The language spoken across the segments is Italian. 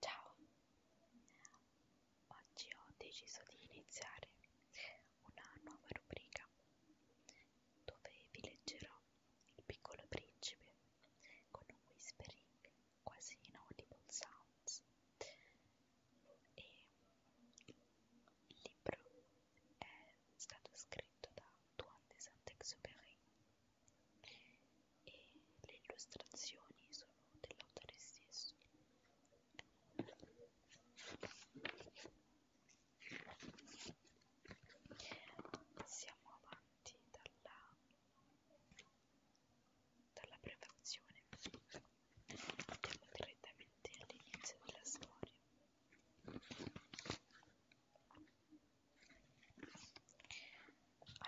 Ciao, oggi ho deciso di iniziare una nuova rubrica dove vi leggerò Il piccolo principe con un whispering quasi inaudible sounds e il libro è stato scritto da Antoine de Saint-Exupéry e le illustrazioni sono dell'autore stesso. Siamo avanti dalla, dalla prefazione. Andiamo direttamente all'inizio della storia.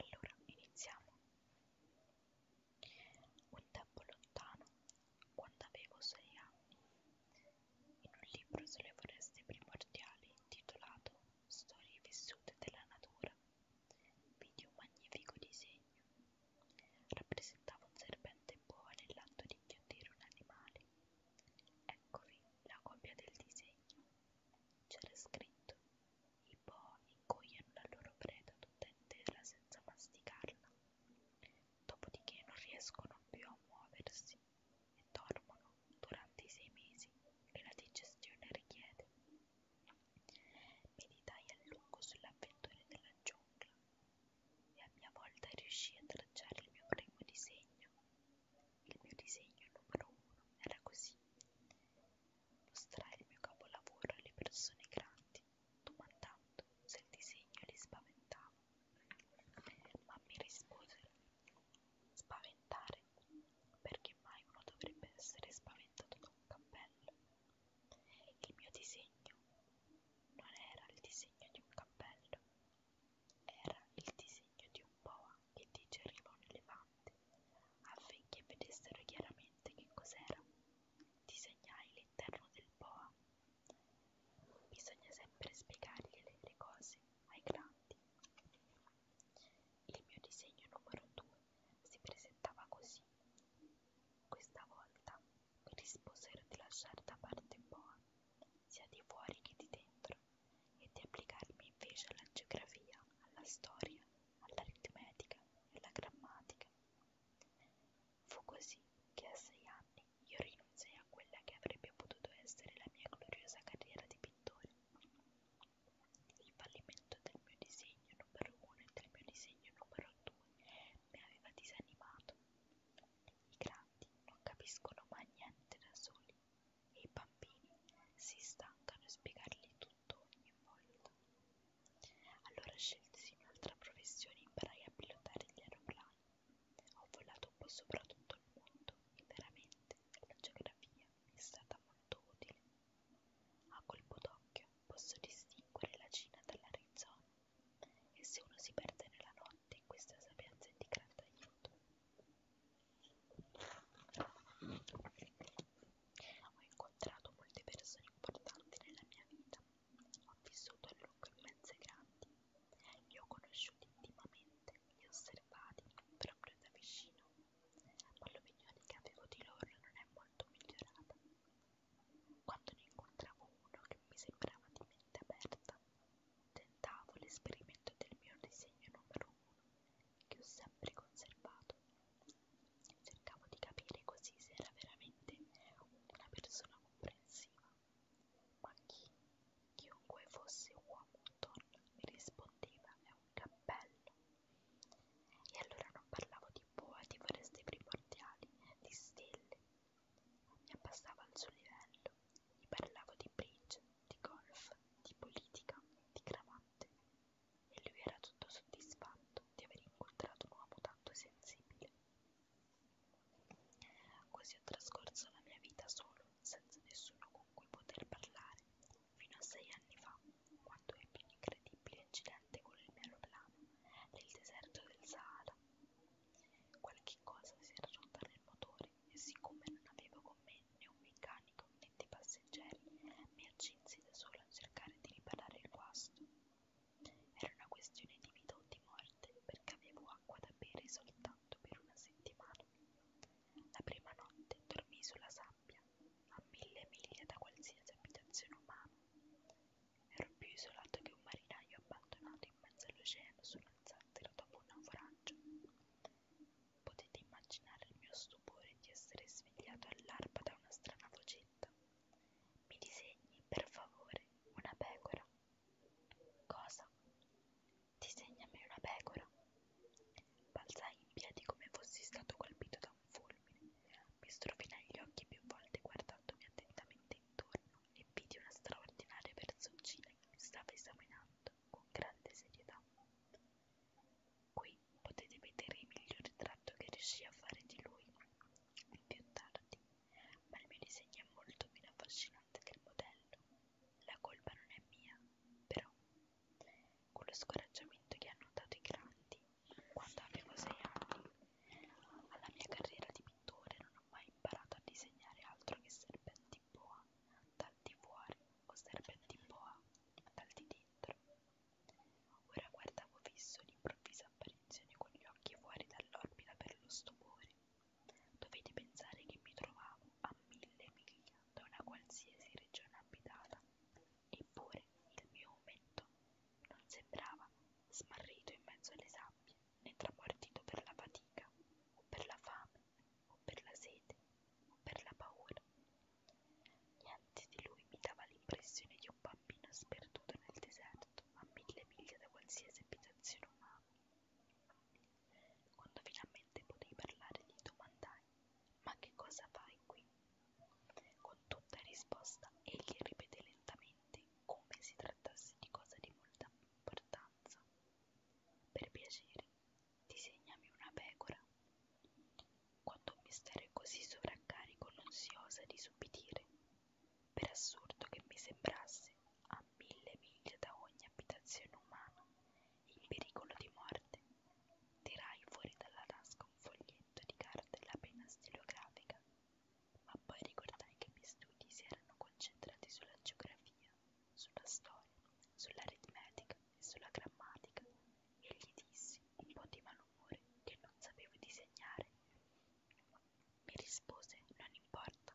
Allora, iniziamo. Un tempo lontano, quando avevo sei anni, in un libro sulle foreste primordiali intitolato Storie vissute della natura, vidi un magnifico disegno. Rappresentava un serpente boa nell'atto di inghiottire un animale. Eccovi la copia del disegno. C'era scritto: i boa ingoiano la loro preda tutta intera senza masticarla, dopodiché non riescono più a muoversi e dormono durante i sei mesi che la digestione richiede. Meditai a lungo sull'avventura della giungla e a mia volta riuscii a tracciare il mio primo disegno il mio disegno numero uno era così. Mostrare il mio capolavoro alle persone grandi, domandando se il disegno li spaventava. Ma mi risposero, spaventare? Perché mai uno dovrebbe essere spaventato da un cappello? Il mio disegno non era il disegno di un cappello, era il disegno di un boa che digeriva un elefante, affinché vedessero chiaramente che cos'era. Disegnai l'interno del boa. Bisogna sempre spiegargliele le cose ai grandi. Il mio disegno numero 2 si presentava così. Questa volta mi risposero di lasciare da parte Boa sia di fuori che di dentro, e di applicarmi invece alla geografia, alla storia, all'aritmetica e alla grammatica. Fu così che a sei anni io rinunciai a quella che avrebbe potuto essere la mia gloriosa carriera di pittore. Il fallimento del mio disegno numero uno e del mio disegno numero due mi aveva disanimato. I grandi non capiscono mai niente da soli e i bambini si stancano di spiegargli tutto ogni volta. Allora scelsi un'altra professione e imparai a pilotare gli aeroplani. Ho volato un po' sopra tutto il mondo e veramente la geografia mi è stata molto utile. A colpo d'occhio posso distinguere la Cina dall'Arizona e se uno si perde nella notte importante in questa sapienza di grande aiuto. Ho incontrato molte persone importanti nella mia vita, ho vissuto a lungo immense grandi, li ho conosciuti intimamente, li ho osservati proprio da vicino, ma l'opinione che avevo di loro non è molto migliorata. Quando ne incontravo uno che mi sembrava di mente aperta, tentavo l'esperimento del mio disegno numero uno, che ho sempre conservato. Cercavo di capire così se era veramente una persona comprensiva. Ma chi, chiunque fosse uomo o donna, mi rispondeva è un cappello. E allora non parlavo di boati, foreste primordiali, di stelle, mi abbassavo al suo livello, gli parlavo di bridge, di golf, di politica, di cravatte e lui era tutto soddisfatto di aver incontrato un uomo tanto sensibile. Così ho trascorso la mia vita solo, senza nessuno con cui poter parlare, fino a sei anni fa, quando ebbi un incredibile incidente con il mio aeroplano nel deserto del Sahara. Qualche cosa si era rotta nel motore e siccome non avevo con me né un meccanico né dei passeggeri, mi accinsi da sola a cercare di riparare il guasto. Era una questione di vita o di morte perché avevo acqua da bere soltanto per una settimana. La prima notte dormii sulla sabbia, a mille miglia da qualsiasi abitazione umana. Ero più isolato che un marinaio abbandonato in mezzo all'oceano su una zattera dopo un naufragio. Potete immaginare il mio stupore di essere svegliato all'arpa da una strana vocetta. Mi disegni, per favore, una pecora. Cosa? Disegnami una pecora. Balzai in piedi come fossi stato colpito da un fulmine. Mi strofinai gli occhi più volte guardandomi attentamente intorno e vide una straordinaria personcina che mi stava esaminando con grande serietà. Qui potete vedere il miglior ritratto che riuscii a fare di lui più tardi, ma il mio disegno è molto meno affascinante del modello. La colpa non è mia, però, con lo scoraggiamento che hanno dato i grandi quando avevo sei anni, alla mia carriera di pittore non ho mai imparato a disegnare altro che serpenti boa dal di fuori o serpenti boa dal di dentro. Ora guardavo fisso l'improvvisa apparizione con gli occhi fuori dall'orbita per lo stupore. Dovevi pensare che mi trovavo a mille miglia da una qualsiasi regione abitata, eppure il mio ometto non sembrava smarrito in mezzo alle sabbie, né tramortito per la fatica, o per la fame, o per la sete, o per la paura. Niente di lui mi dava l'impressione di un bambino sperduto nel deserto, a mille miglia da qualsiasi abitazione umana. Quando finalmente potei parlare, gli domandai: Ma che cosa fai qui? Con tutta risposta egli ripeté lentamente mente come si trattasse di cosa di molta importanza. Per piacere, disegnami una pecora. Quando un mistero è così sovraccarico non si osa disubbidire. Per assurdo che mi sembrasse, a mille miglia da ogni abitazione umana, in pericolo di morte, tirai fuori dalla tasca un foglietto di cartella appena stilografica ma poi ricordai che i miei studi si erano concentrati sulla geografia, sulla storia, sull'aritmetica e sulla grammatica e gli dissi, un po' di malumore, che non sapevo disegnare. Mi rispose, non importa,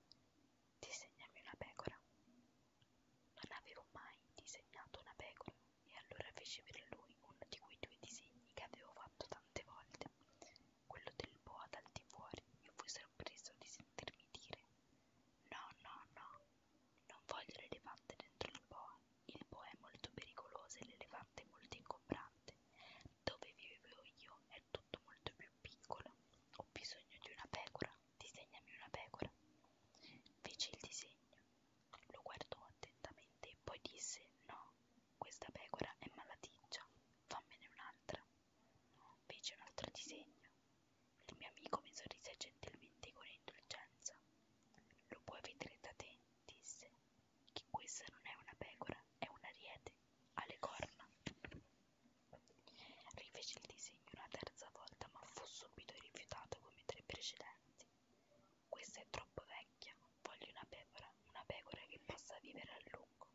disegnami una pecora. Non avevo mai disegnato una pecora e allora feci per lui uno di quei due disegni che avevo fatto tanto tante volte. Quello del boa dal di fuori mi fu sorpreso di sentirmi dire: No, no, no, non voglio l'elefante dentro il boa. Il boa è molto pericoloso e l'elefante è molto ingombrante. Dove vivevo io è tutto molto più piccolo. Ho bisogno di una pecora. Disegnami una pecora. Fece il disegno, lo guardò attentamente e poi disse: No, questa pecora è malaticcia, fammene un'altra. Fece un altro disegno. Il mio amico mi sorrise gentilmente con indulgenza. Lo puoi vedere da te, disse, che questa non è una pecora, è un ariete, ha le corna. Rifece il disegno una terza volta, ma fu subito rifiutato come i tre precedenti. Questa è troppo vecchia, voglio una pecora, una pecora che possa vivere a lungo.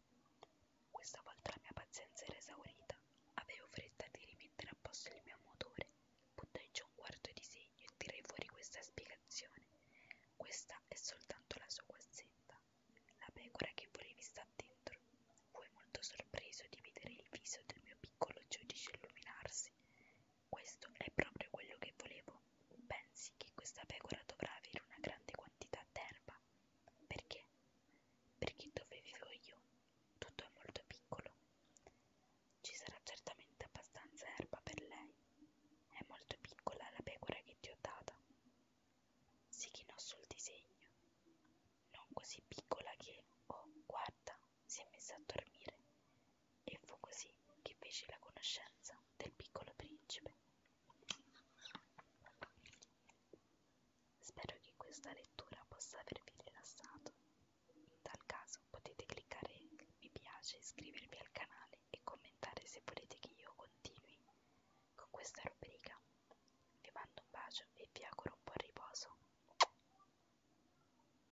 Questa volta la mia pazienza era esaurita, avevo fretta di rimettere a posto il mio motore, buttai giù un quarto di segno e tirai fuori questa spiegazione. Questa è soltanto la sua guazzetta, la pecora che volevi sta dentro. Fui molto sorpreso di vedere il viso del mio piccolo giudice illuminarsi questo è proprio quello che volevo. Pensi che questa pecora dovrà avere una grande quantità d'erba? Perché? Perché dove vivo io tutto è molto piccolo. Ci sarà certamente abbastanza erba per lei. È molto piccola la pecora che ti ho data. Si chinò sul disegno. Non così piccola che, oh, guarda, si è messa a dormire e fu così che fece la conoscenza del piccolo principe. Spero che questa lettura possa avervi rilassato. In tal caso potete cliccare mi piace, iscrivervi al canale e commentare se volete che io continui con questa rubrica. Vi mando un bacio e vi auguro un buon riposo.